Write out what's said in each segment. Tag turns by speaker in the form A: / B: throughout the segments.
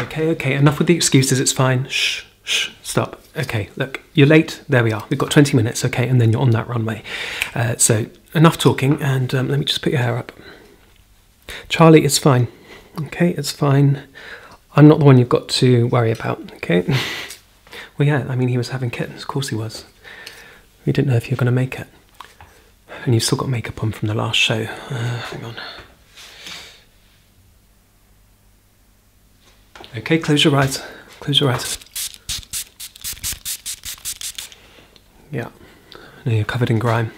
A: Okay, okay, enough with the excuses, it's fine. Shh, shh, stop. Okay, look, you're late. There we are. We've got 20 minutes, okay, and then you're on that runway. Uh, so, enough talking, and um, let me just put your hair up. Charlie, it's fine. Okay, it's fine. I'm not the one you've got to worry about, okay? well, yeah, I mean, he was having kittens. Of course he was. We didn't know if you were going to make it. And you've still got makeup on from the last show. Uh, hang on. Okay, close your eyes. Close your eyes. Yeah. Now you're covered in grime.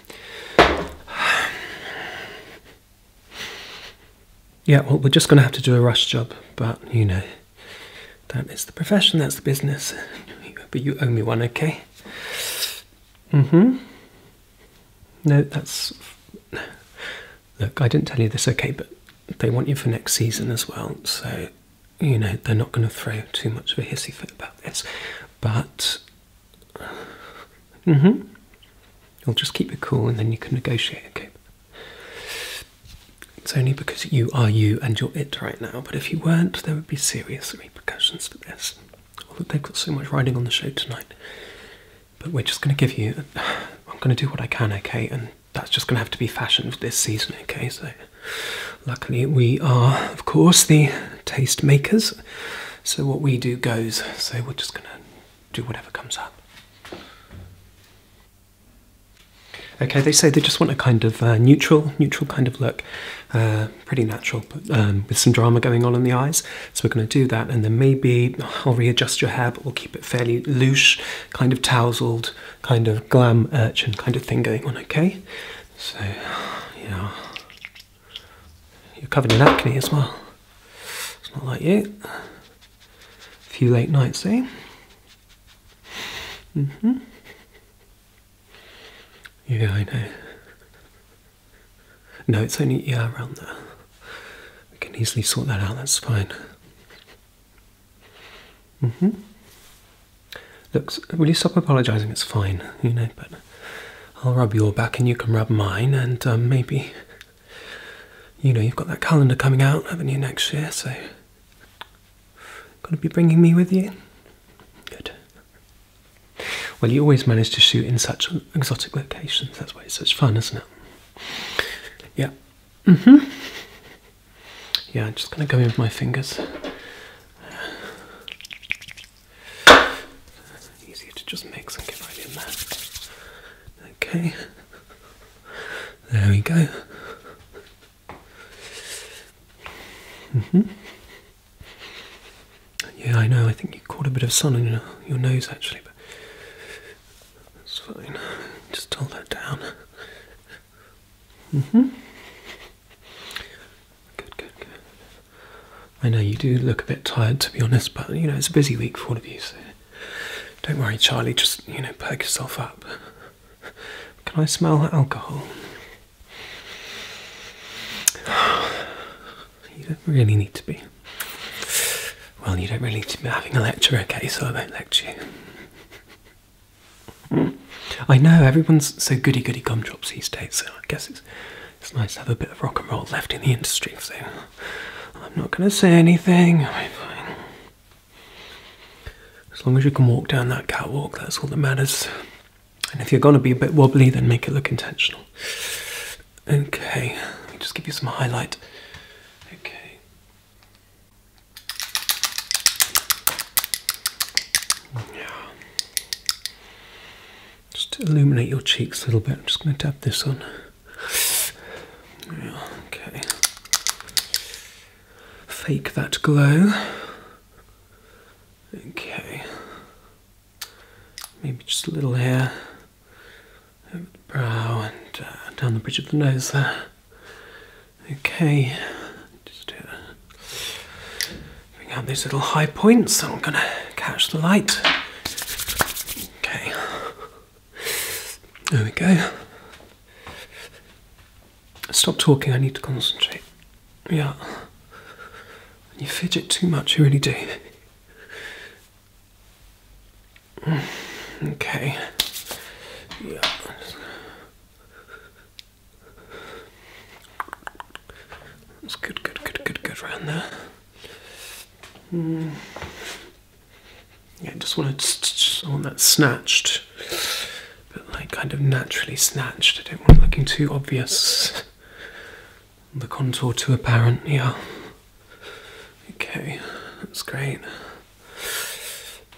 A: Yeah, well, we're just going to have to do a rush job, but you know, that is the profession, that's the business. But you owe me one, okay? Mm hmm. No, that's. Look, I didn't tell you this, okay, but they want you for next season as well, so, you know, they're not going to throw too much of a hissy fit about this. But. Mm hmm. You'll just keep it cool and then you can negotiate, okay? It's only because you are you and you're it right now, but if you weren't, there would be serious repercussions for this. Well, they've got so much riding on the show tonight. But we're just going to give you. I'm going to do what I can, okay? And that's just going to have to be fashioned for this season, okay? So, luckily, we are, of course, the taste makers. So, what we do goes. So, we're just going to do whatever comes up. Okay, they say they just want a kind of uh, neutral, neutral kind of look. Uh, pretty natural, but um, with some drama going on in the eyes. So we're going to do that, and then maybe I'll readjust your hair, but we'll keep it fairly loose, kind of tousled, kind of glam urchin kind of thing going on, okay? So, yeah. You're covered in acne as well. It's not like you. A few late nights, eh? Mm hmm yeah, I know. No, it's only yeah around there. We can easily sort that out. That's fine. Mhm. Looks. Will you stop apologising? It's fine. You know, but I'll rub your back and you can rub mine, and um, maybe. You know, you've got that calendar coming out, haven't you, next year? So, gonna be bringing me with you. Good. Well, you always manage to shoot in such exotic locations. That's why it's such fun, isn't it? Yeah. Mm hmm. Yeah, I'm just going to go in with my fingers. Easier to just mix and get right in there. Okay. There we go. Mm-hmm. Yeah, I know. I think you caught a bit of sun in your, your nose actually, but that's fine. Just hold that down. Mhm. Mm good, good, good. I know you do look a bit tired, to be honest, but you know it's a busy week for all of you, so don't worry, Charlie. Just you know, perk yourself up. Can I smell alcohol? You don't really need to be. Well, you don't really need to be having a lecture, okay? So I won't lecture you. Hmm? I know everyone's so goody goody gumdrops these days, so I guess it's nice to have a bit of rock and roll left in the industry. So I'm not going to say anything. As long as you can walk down that catwalk, that's all that matters. And if you're going to be a bit wobbly, then make it look intentional. Okay, let me just give you some highlight. Okay. Yeah. Just to illuminate your cheeks a little bit, I'm just going to dab this on. Yeah, okay. Fake that glow. Okay maybe just a little here over the brow and uh, down the bridge of the nose there. Okay, just uh, bring out these little high points. I'm gonna catch the light. Okay, there we go. Stop talking, I need to concentrate. Yeah. You fidget too much, you really do. Mm, okay. Yeah. That's good, good, good, good, good round there. Mm. Yeah, just want I want that snatched, but like kind of naturally snatched. I don't want it looking too obvious. The contour too apparent, yeah. Okay, that's great.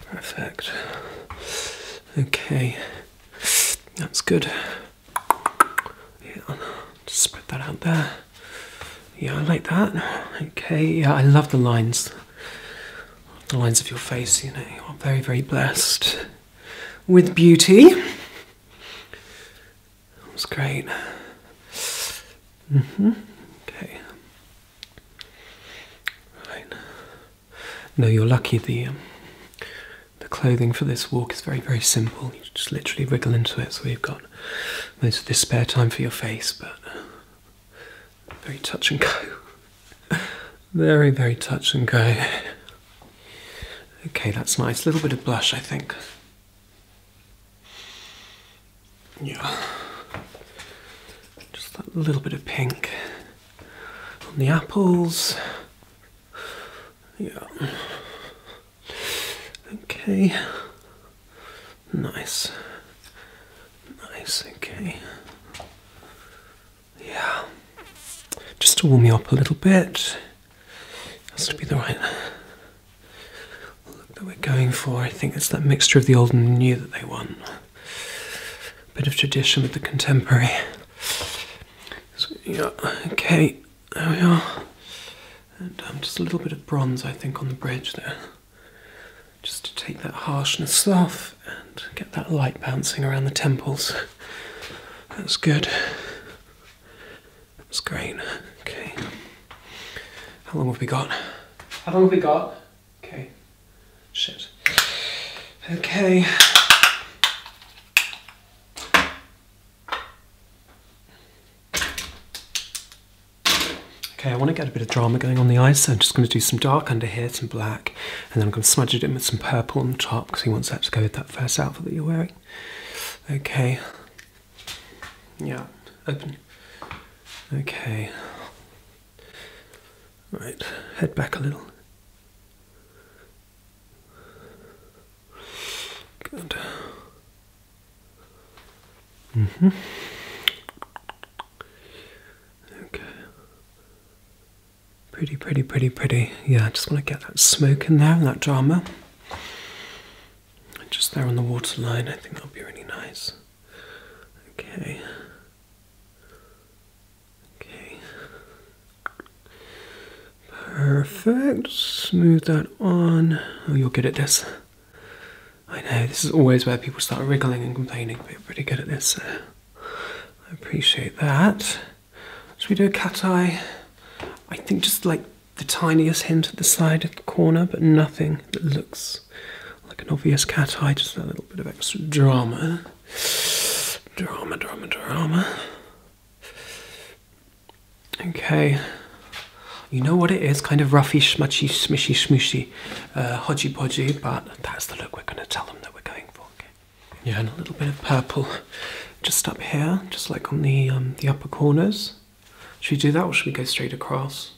A: Perfect. Okay, that's good. Yeah, spread that out there. Yeah, I like that. Okay, yeah, I love the lines. The lines of your face, you know, you are very, very blessed with beauty. That was great. Mm-hmm. Okay. Right. No, you're lucky. The um, the clothing for this walk is very, very simple. You just literally wriggle into it, so you've got most of this spare time for your face, but uh, very touch and go. very, very touch and go. Okay, that's nice. A little bit of blush, I think. Yeah. Just a little bit of pink on the apples. Yeah. Okay. Nice. Nice, okay. Yeah, just to warm you up a little bit. Has to be the right look that we're going for. I think it's that mixture of the old and new that they want. A bit of tradition with the contemporary. yeah, okay, there we are. And um, just a little bit of bronze, I think, on the bridge there. Just to take that harshness off and get that light bouncing around the temples. That's good. That's great. Okay. How long have we got? How long have we got? Okay. Shit. Okay. Okay, I want to get a bit of drama going on the eyes, so I'm just going to do some dark under here, some black, and then I'm going to smudge it in with some purple on the top because he wants that to go with that first outfit that you're wearing. Okay. Yeah, open. Okay. Right, head back a little. Good. Mm hmm. Okay. Pretty, pretty, pretty, pretty. Yeah, I just want to get that smoke in there and that drama. Just there on the waterline, I think that'll be really nice. Okay. Okay. Perfect. Smooth that on. Oh, you're good at this. I know, this is always where people start wriggling and complaining, but you're pretty good at this. So I appreciate that. Should we do a cat eye? I think just like the tiniest hint at the side of the corner, but nothing that looks like an obvious cat eye, just a little bit of extra drama. Drama, drama, drama. Okay. You know what it is, kind of roughy, schmutchy, smishy, smooshy, uh, hodgy podgy, but that's the look we're going to tell them that we're going for. Yeah, and a little bit of purple just up here, just like on the um, the upper corners. Should we do that or should we go straight across?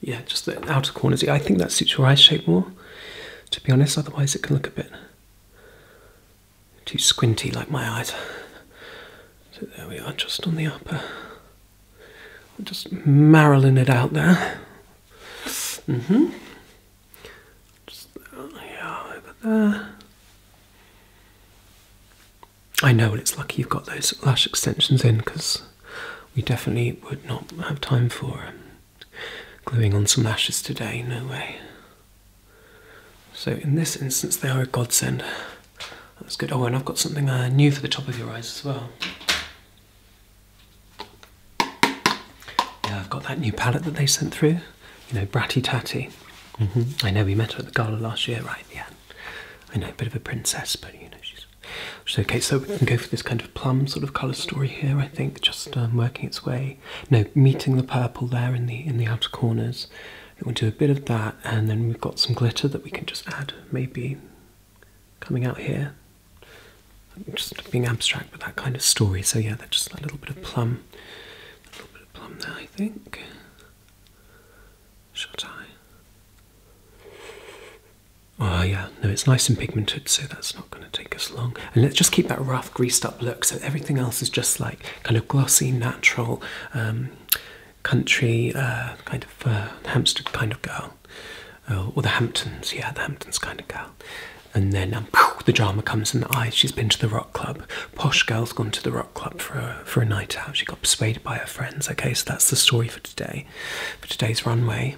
A: Yeah, just the outer corners. I think that suits your eye shape more, to be honest. Otherwise, it can look a bit too squinty like my eyes. So there we are, just on the upper. I'm just Marilyn it out there. Mm hmm just yeah, over there. I know and it's lucky you've got those lash extensions in because we definitely would not have time for um, gluing on some lashes today, no way. So in this instance they are a godsend. That's good. Oh, and I've got something uh, new for the top of your eyes as well. Yeah, I've got that new palette that they sent through you know, bratty tatty. Mm-hmm. I know we met her at the gala last year, right? Yeah. I know, a bit of a princess, but you know, she's, okay. So we can go for this kind of plum sort of colour story here, I think, just um, working its way. No, meeting the purple there in the in the outer corners. We'll do a bit of that, and then we've got some glitter that we can just add, maybe coming out here. Just being abstract, with that kind of story. So yeah, that's just a little bit of plum a little bit of plum there, I think. Shut eye. Oh yeah, no, it's nice and pigmented, so that's not going to take us long. And let's just keep that rough, greased-up look, so everything else is just like kind of glossy, natural, um, country, uh, kind of uh, hamster kind of girl, or oh, the Hamptons, yeah, the Hamptons kind of girl. And then um, the drama comes in the eyes. She's been to the rock club. Posh girl's gone to the rock club for a, for a night out. She got persuaded by her friends. Okay, so that's the story for today, for today's runway.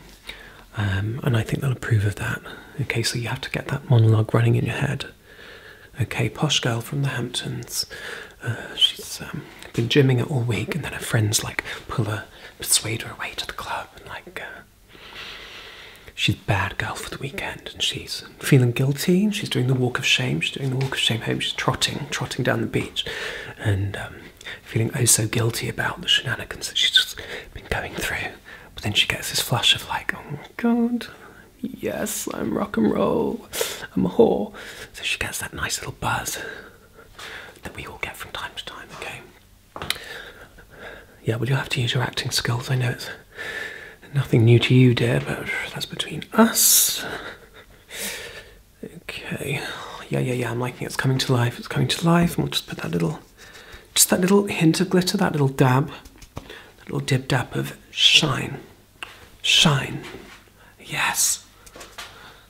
A: Um, and I think they'll approve of that. Okay, so you have to get that monologue running in your head. Okay, posh girl from the Hamptons. Uh, she's um, been gymming it all week, and then her friends like pull her, persuade her away to the club, and like uh, she's bad girl for the weekend and she's feeling guilty and she's doing the walk of shame. She's doing the walk of shame home. She's trotting, trotting down the beach and um, feeling oh so guilty about the shenanigans that she's been going through. But then she gets this flush of like, oh my god, yes, I'm rock and roll, I'm a whore. So she gets that nice little buzz that we all get from time to time, okay? Yeah, well, you have to use your acting skills. I know it's Nothing new to you, dear, but that's between us. Okay. Yeah, yeah, yeah, I'm liking it. It's coming to life. It's coming to life. And we'll just put that little, just that little hint of glitter, that little dab, that little dib dab of shine. Shine. Yes.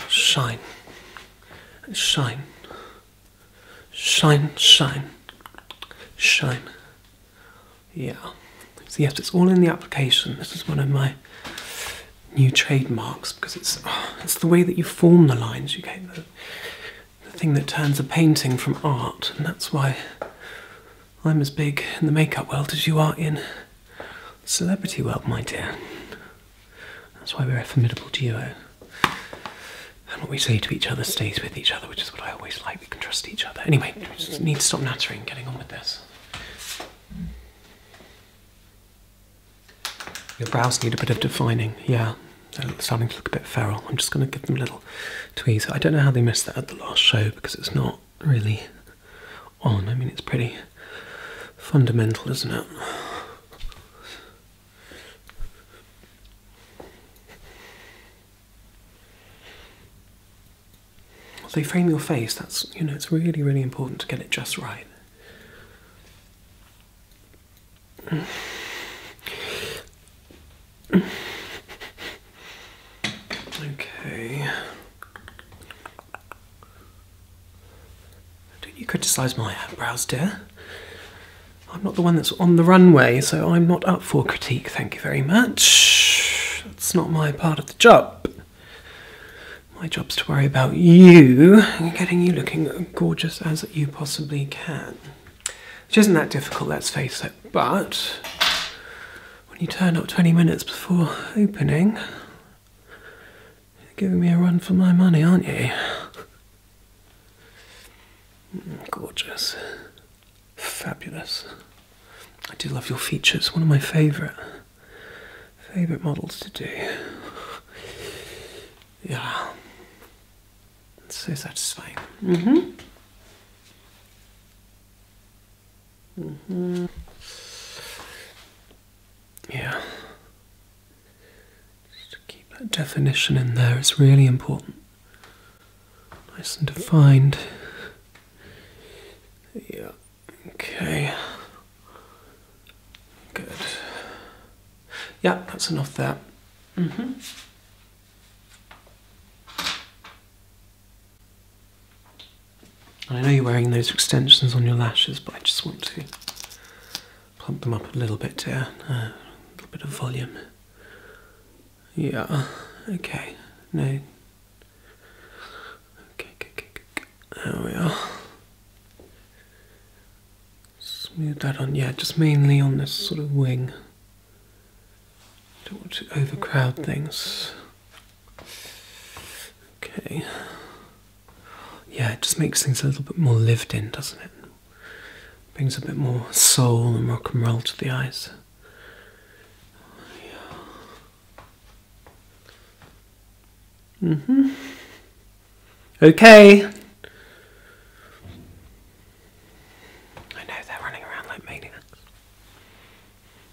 A: Shine. Shine. Shine, shine, shine. Yeah. So yes, it's all in the application. This is one of my new trademarks because it's it's the way that you form the lines. You get the, the thing that turns a painting from art, and that's why I'm as big in the makeup world as you are in celebrity world, my dear. That's why we're a formidable duo. And what we say to each other stays with each other, which is what I always like. We can trust each other. Anyway, we just need to stop nattering and getting on with this. Your brows need a bit of defining, yeah. They're starting to look a bit feral. I'm just going to give them a little tweeze. I don't know how they missed that at the last show because it's not really on. I mean, it's pretty fundamental, isn't it? They frame your face, that's you know, it's really, really important to get it just right. Okay. Don't you criticize my eyebrows, dear? I'm not the one that's on the runway, so I'm not up for critique, thank you very much. That's not my part of the job. My job's to worry about you and getting you looking gorgeous as you possibly can. Which isn't that difficult, let's face it, but when you turn up 20 minutes before opening, you're giving me a run for my money, aren't you? Gorgeous. Fabulous. I do love your features. One of my favourite favourite models to do. Yeah. It's so satisfying. Mm-hmm. hmm Yeah. Just to keep that definition in there, it's really important. Nice and defined. Yeah, okay. Good. Yeah, that's enough there. hmm. I know you're wearing those extensions on your lashes, but I just want to plump them up a little bit here, uh, a little bit of volume. Yeah. Okay. No. Okay. Okay. okay, There we are. Smooth that on. Yeah, just mainly on this sort of wing. Don't want to overcrowd things. Okay. Yeah, it just makes things a little bit more lived in, doesn't it? brings a bit more soul and rock and roll to the eyes. Mm hmm Okay. I know they're running around like maniacs.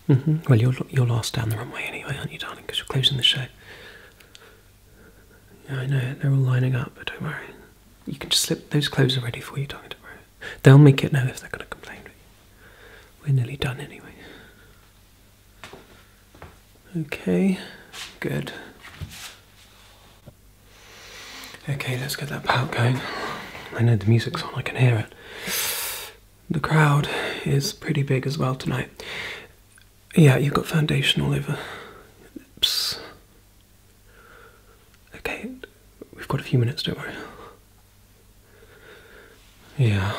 A: hmm Well, you're you're last down the runway anyway, aren't you, darling? Because you're closing the show. Yeah, I know. They're all lining up, but don't worry. You can just slip those clothes are ready for you, darling. Tomorrow. They'll make it now if they're going to complain. We're nearly done anyway. Okay, good. Okay, let's get that pump going. I know the music's on, I can hear it. The crowd is pretty big as well tonight. Yeah, you've got foundation all over. Oops. Okay, we've got a few minutes, don't worry. Yeah.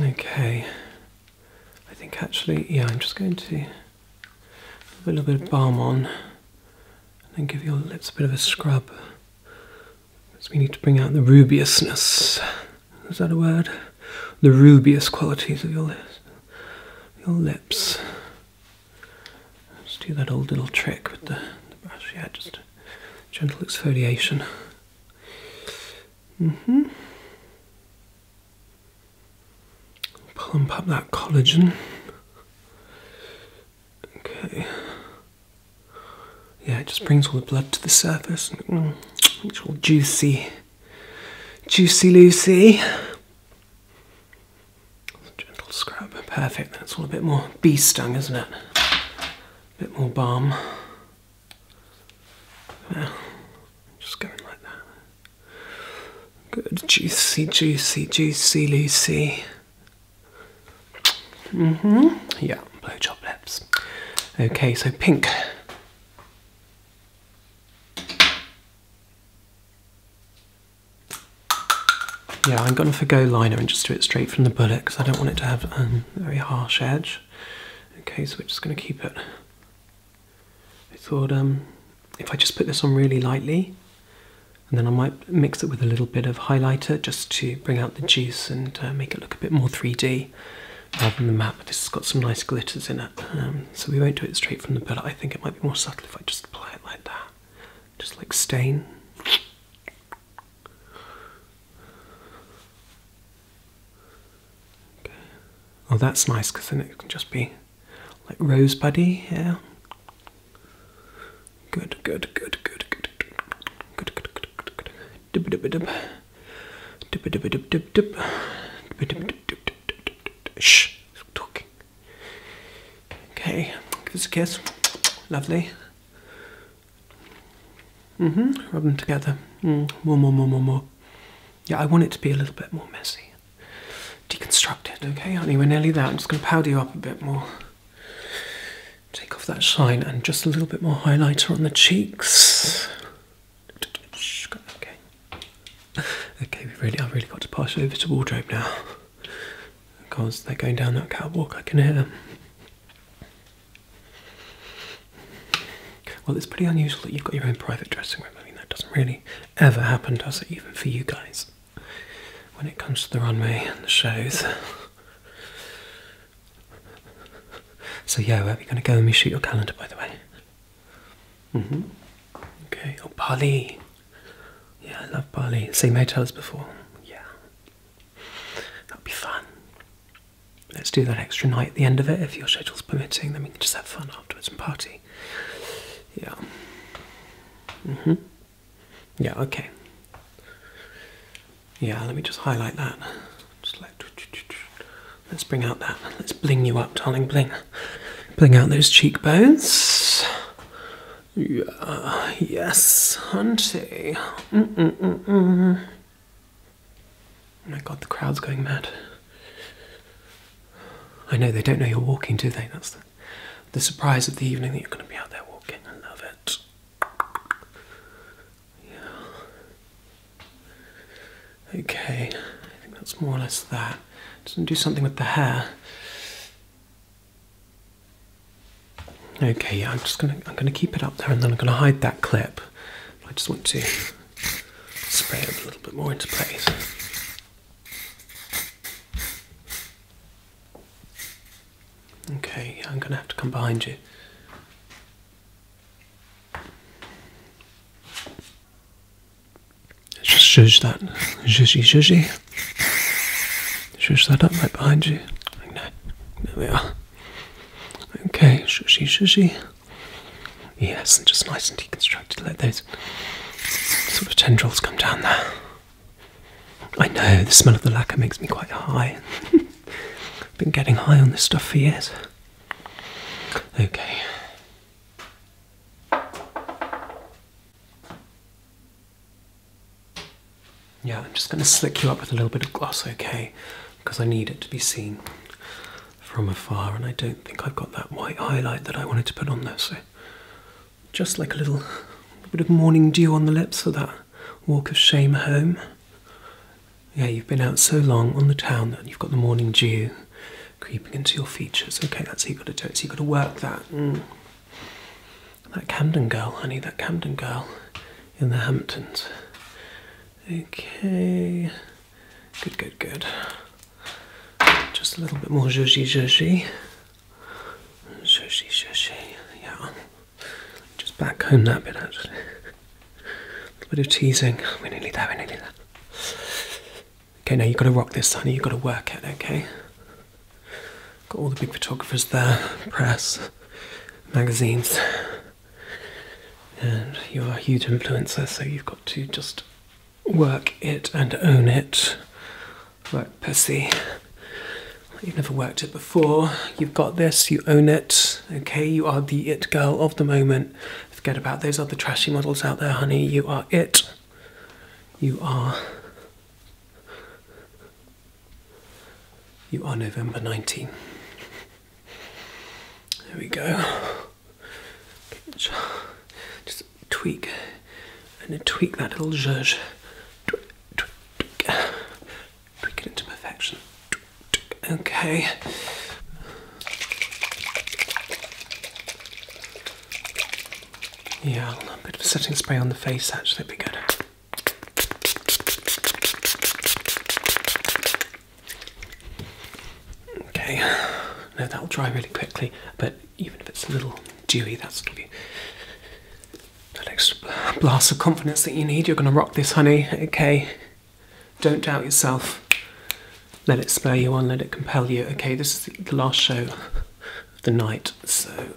A: Okay. I think actually, yeah, I'm just going to put a little bit of balm on and then give your lips a bit of a scrub. Because we need to bring out the rubiousness. Is that a word? the rubious qualities of your lips. Let's do that old little trick with the, brush. Yeah, just gentle exfoliation. Mhm. Mm Pump up that collagen. Okay. Yeah, it just brings all the blood to the surface. It's all juicy. Juicy Lucy. Gentle scrub, perfect. That's all a bit more bee stung, isn't it? A bit more balm. Well, just going like that. Good, juicy, juicy, juicy Lucy. hmm Yeah, blow job lips. Okay, so pink. Yeah, I'm going to forgo liner and just do it straight from the bullet because I don't want it to have a very harsh edge. Okay, so we're just going to keep it. I thought um, if I just put this on really lightly and then I might mix it with a little bit of highlighter just to bring out the juice and uh, make it look a bit more 3D rather than matte this has got some nice glitters in it, um, so we won't do it straight from the palette. I think it might be more subtle if I just apply it like that, just like stain. Okay. Oh, that's nice because then it can just be like rosebuddy. Yeah. Good, good, good, good, good, good, good, good, good, good. Dip, dip, dip, dip, dip, dip, dip, dip, dip, dip, dip, dip, dip, dip. Shh, stop talking. Okay, give us a kiss. Lovely. Mm-hmm. Rub them together. Mm. More, more, more, more, more. Yeah, I want it to be a little bit more messy. Deconstructed, okay, honey? We're nearly there. I'm just going to powder you up a bit more. Take off that shine and just a little bit more highlighter on the cheeks. Okay. Okay, we really, I've really got to pass over to wardrobe now. Because they're going down that catwalk, I can hear them. Well, it's pretty unusual that you've got your own private dressing room. I mean, that doesn't really ever happen, does it? Even for you guys. When it comes to the runway and the shows. So, yeah, where are we going to go and reshoot your calendar, by the way? Mm-hmm. Okay. Oh, Bali. Yeah, I love Bali. Same hotel as before. Yeah. That'll be fun. Let's do that extra night at the end of it if your schedule's permitting. Then we can just have fun afterwards and party. Yeah. Mhm. Mm yeah. Okay. Yeah. Let me just highlight that. Just like Let's bring out that. Let's bling you up, darling. Bling. Bling out those cheekbones. Yeah, yes, hunty. Oh, my god, the crowd's going mad. I know they don't know you're walking, do they? That's the, the surprise of the evening that you're going to be out there walking. I love it. Okay, I think that's more or less that. Let's do something with the hair. Okay, yeah, I'm just gonna I'm gonna keep it up there and then I'm gonna hide that clip. I just want to spray it a little bit more into place. Okay, I'm gonna have to come behind you. Just shush that. Zhuzhy, zhuzhy. Shush that up right behind you. there we are. Okay, zhuzhy, zhuzhy. Yes, just nice and deconstructed. Let those sort of tendrils come down there. I know, the smell of the lacquer makes me quite high. I've Been getting high on this stuff for years. Okay. Yeah, I'm just going to slick you up with a little bit of gloss, okay? Because I need it to be seen from afar, and I don't think I've got that white highlight that I wanted to put on there, so just like a little, bit of morning dew on the lips for that walk of shame home. Yeah, you've been out so long on the town that you've got the morning dew creeping into your features. Okay, that's how you got to do it. So you got to work that. Mm. That Camden girl, honey. That Camden girl in the Hamptons. Okay. Good, good, good. Just a little bit more zhuzhy zhuzhy. Zhuzhy zhuzhy. Yeah. Just back home that bit actually. a bit of teasing. we need that. we need that. Okay, now you've got to rock this, honey. You've got to work it, okay? Got all the big photographers there, press, magazines, and you're a huge influencer, so you've got to just work it and own it. right, pussy. You've never worked it before. You've got this, you own it, okay? You are the it girl of the moment. Forget about those other trashy models out there, honey. You are it. You are. You are November nineteenth. There we go. Just tweak and tweak that little zhuzh. Tweak, it into perfection. Tweak, Okay. Yeah, a bit of setting spray on the face actually would be good. Okay, No, that'll dry really quickly, but even if it's a little dewy, that's going to be that extra blast of confidence that you need. You're going to rock this, honey, okay? Don't doubt yourself. Let it spur you on, let it compel you. Okay, this is the last show of the night, so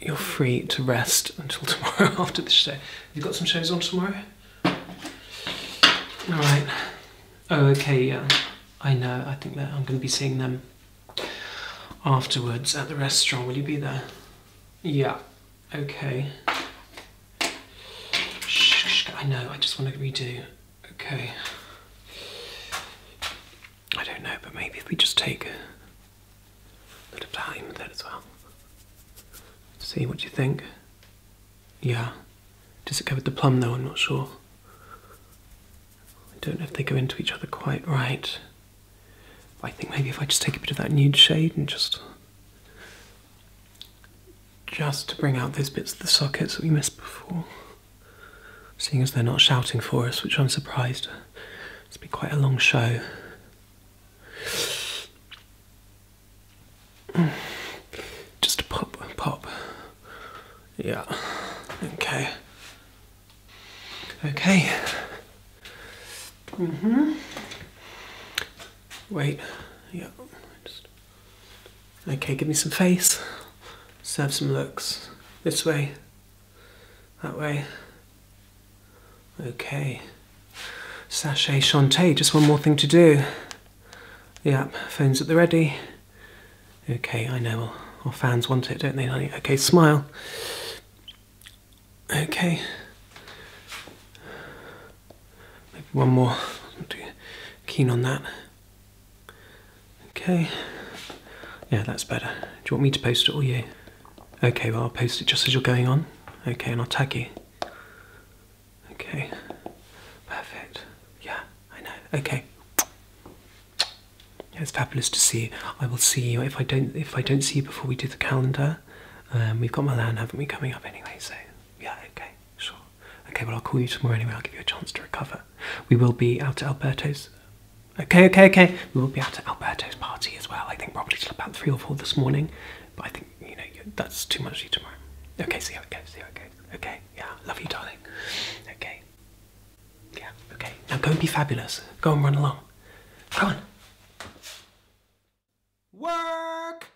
A: you're free to rest until tomorrow after the show. Have you got some shows on tomorrow? All right. Oh, okay, yeah. I know, I think that I'm going to be seeing them afterwards at the restaurant. Will you be there? Yeah. Okay. I know, I just want to redo. Okay. I don't know, but maybe if we just take a bit of time with that as well. See what you think. Yeah. Does it go with the plum though? I'm not sure. I don't know if they go into each other quite right. I think maybe if I just take a bit of that nude shade and just just to bring out those bits of the sockets that we missed before. Seeing as they're not shouting for us, which I'm surprised. It's been quite a long show. Just a pop, pop. Yeah, okay. Okay. hmm Wait, yeah, just Okay, give me some face. Serve some looks. This way. That way. Okay. Sashay Chanté, just one more thing to do. Yep, phone's at the ready. Okay, I know our, fans want it, don't they, Okay, smile. Okay. Maybe one more. Not too keen on that. Okay. Yeah, that's better. Do you want me to post it all you? Okay, well, I'll post it just as you're going on. Okay, and I'll tag you. Okay. Perfect. Yeah, I know. Okay. Yeah, it's fabulous to see you. I will see you if I don't if I don't see you before we do the calendar. Um, we've got Milan, haven't we, coming up anyway? So yeah, okay, sure. Okay, well, I'll call you tomorrow anyway. I'll give you a chance to recover. We will be out at Alberto's. Okay, okay, okay. We will be out at Alberto's party as well. I think probably till about three or four this morning. But I think, you know, that's too much for you tomorrow. Okay, see how it goes, see you. Okay. Okay, yeah, love you, darling. Okay. Yeah, okay. Now go and be fabulous. Go and run along. Go on. Work!